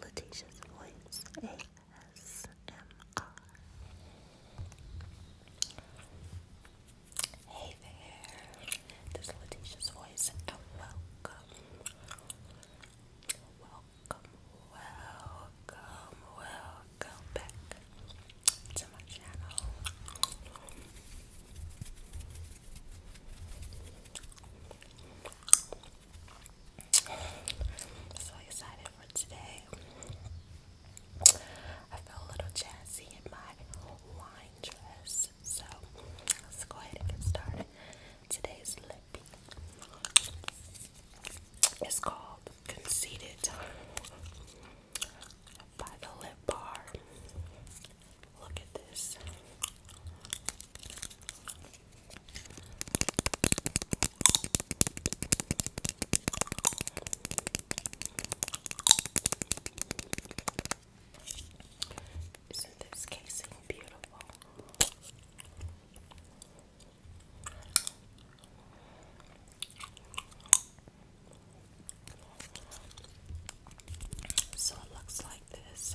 Letitia's Voice ASMR. Hey there, this is Letitia's Voice, welcome, welcome, welcome, welcome back to my channel. So excited for today. I feel a little jazzy in my wine dress. So let's go ahead and get started. Today's lip is called Conceited by the Lip Bar. Look at this. Isn't this casing beautiful? So it looks like this.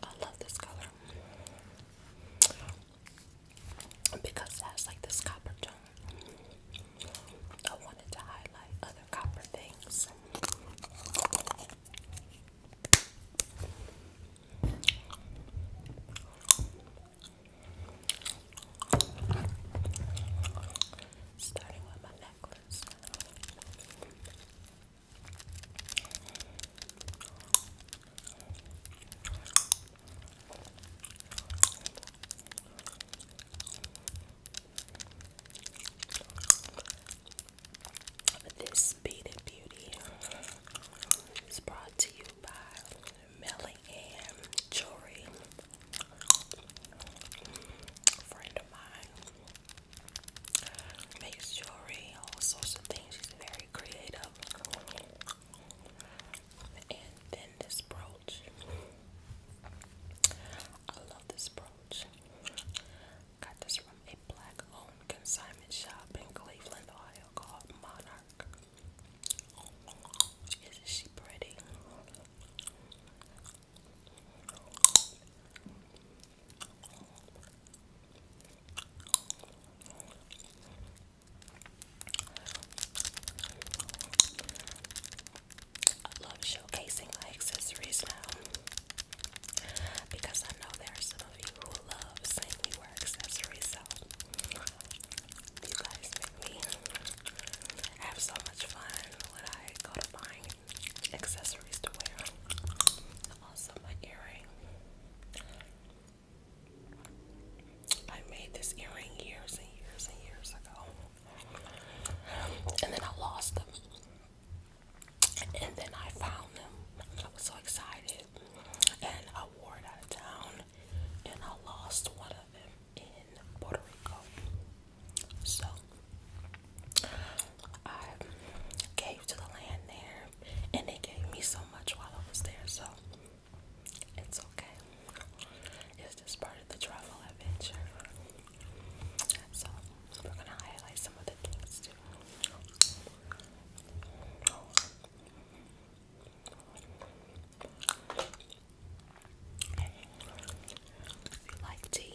I love this color because that's like this copper tone. I wanted to highlight other copper things. Starting with my necklace. This beaded beauty is brought to you by Melly Ann Jewelry, friend of mine. Makes jewelry, all sorts of things. She's very creative. And then this brooch. I love this brooch. Got this from a black owned consignment shop in Cleveland, Ohio called Monarch. Isn't she pretty? love showcasing my accessories now because I know there are some of you who love seeing me wear accessories. So you guys make me have so much fun when I go to find accessories to wear. Also, my earring. I made this earring years and years and years ago. And then I lost them. And then I found them. I was so excited. And I wore it out of town. And I lost one of them in Puerto Rico. So I gave to the land there. And they gave me so much while I was there. So it's okay. It's just part of the travel adventure. So we're gonna highlight some of the things If you like tea.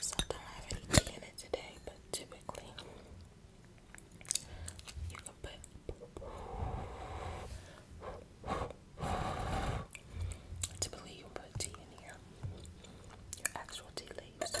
So I don't have any tea in it today, but typically you can put typically you put tea in here. Your actual tea leaves.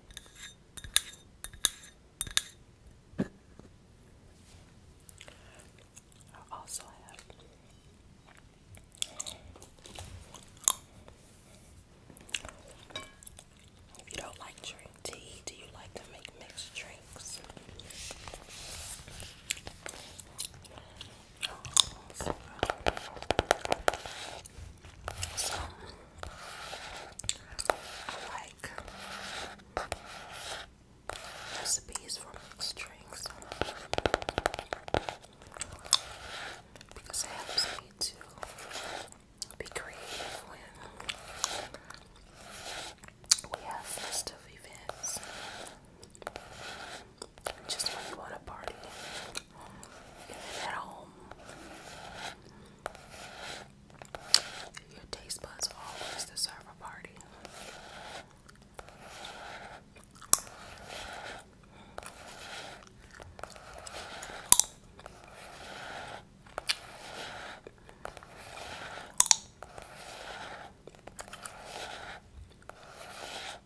I also have if you don't like drink tea, do you like to make mixed drinks? So like recipes from drinks because it helps to be creative when we have festive events. Just want to party, at home. Your taste buds always deserve a party.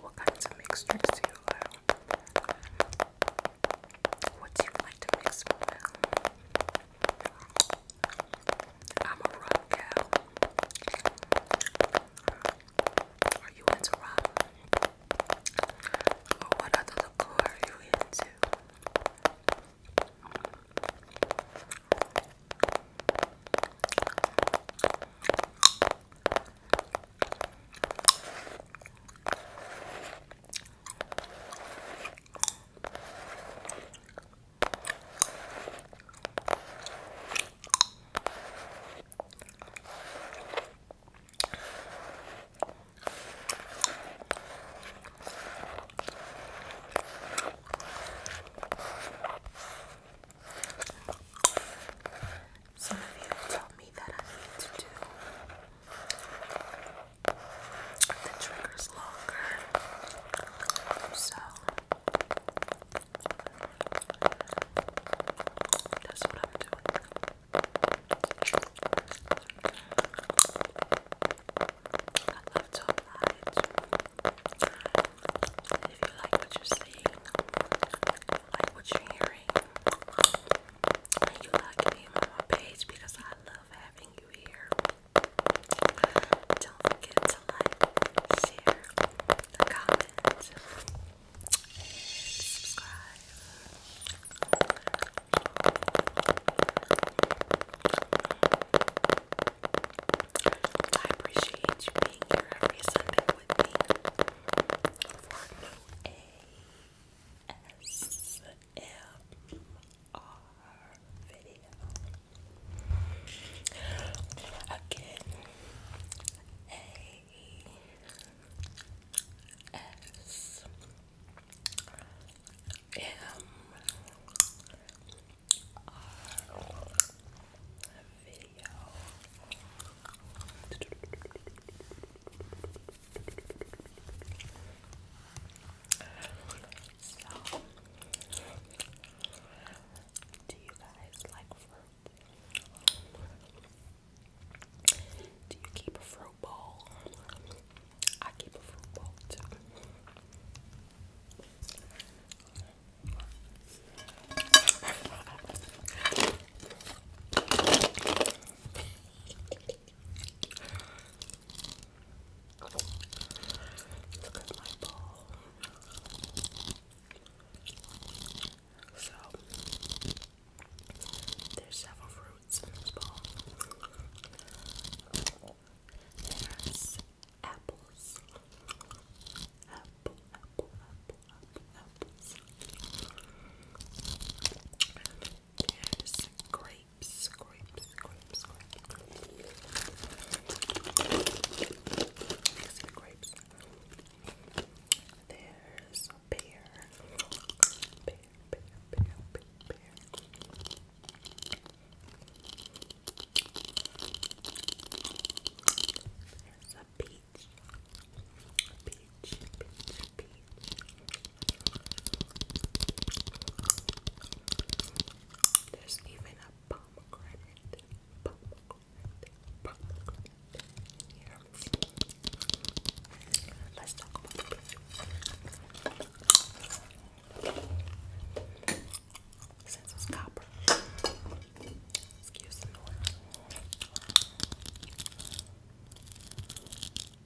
What kinds of mixtures do you allow? What do you like to mix with? I'm a rock gal. Are you into rock? Or what other liqueur are you into? Some of you told me that I need to do the trigger is longer. So that's what I'm doing. If you like what you're seeing, like what you're hearing, you like being on my page because I love having you here. Don't forget to like, share, comment, subscribe. I appreciate you being here every Sunday with me for video. Again, A S M R video. So, do you guys like fruit? Do you keep a fruit bowl? I keep a fruit bowl too. Look at my bowl. So, there's several fruits in this bowl. There's apples. Apple, apple, apple, apple, apples. Yes, grapes, grapes, grapes, grapes. There's a pear. Pear, pear, pear, pear, There's a peach. A peach. There's even a pomegranate, pomegranate, pomegranate Let's talk about the Since it's copper. Excuse me.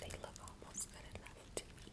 They look almost good enough to eat.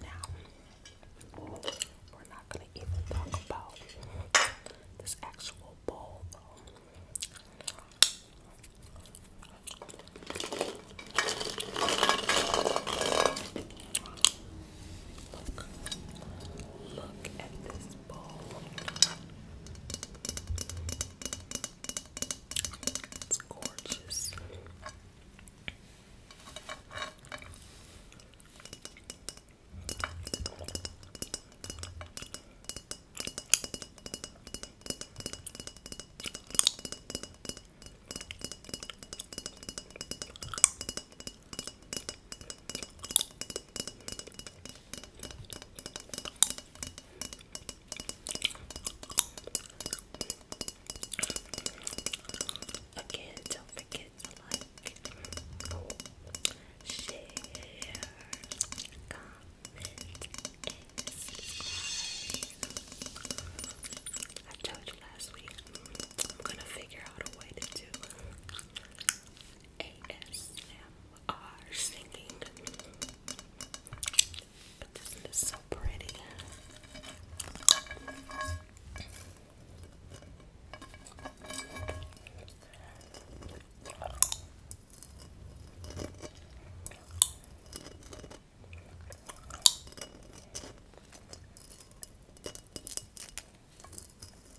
now, we're not going to even talk about this actual bowl, though. Look, look at this this bowl. It's gorgeous. Again, don't forget to like, share, comment, and subscribe. I told you last week I'm gonna figure out a to do ASMR are singing. But this is so pretty.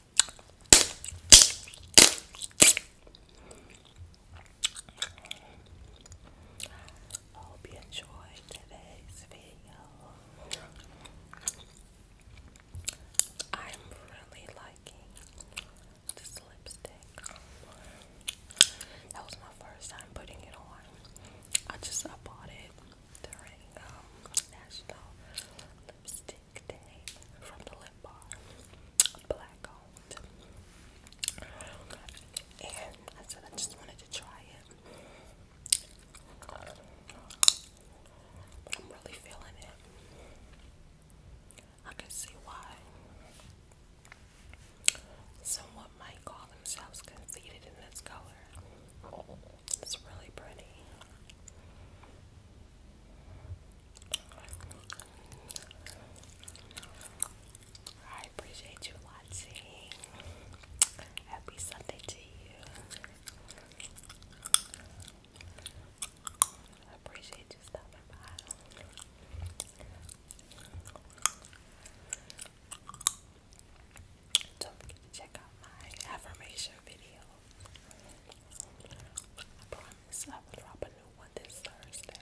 I hope you today's video. I'm really liking this lipstick. That was my first time putting it on. I just I bought it during um, National Lipstick from the lip bar, black owned. And I said I just wanted to try it. I'm really feeling it. I can see why someone might call themselves conceited in this color. It's really pretty. I appreciate you watching. Happy Sunday to you. I appreciate you stopping by. Don't forget to check out my affirmation video. I promise I will drop a new one this Thursday.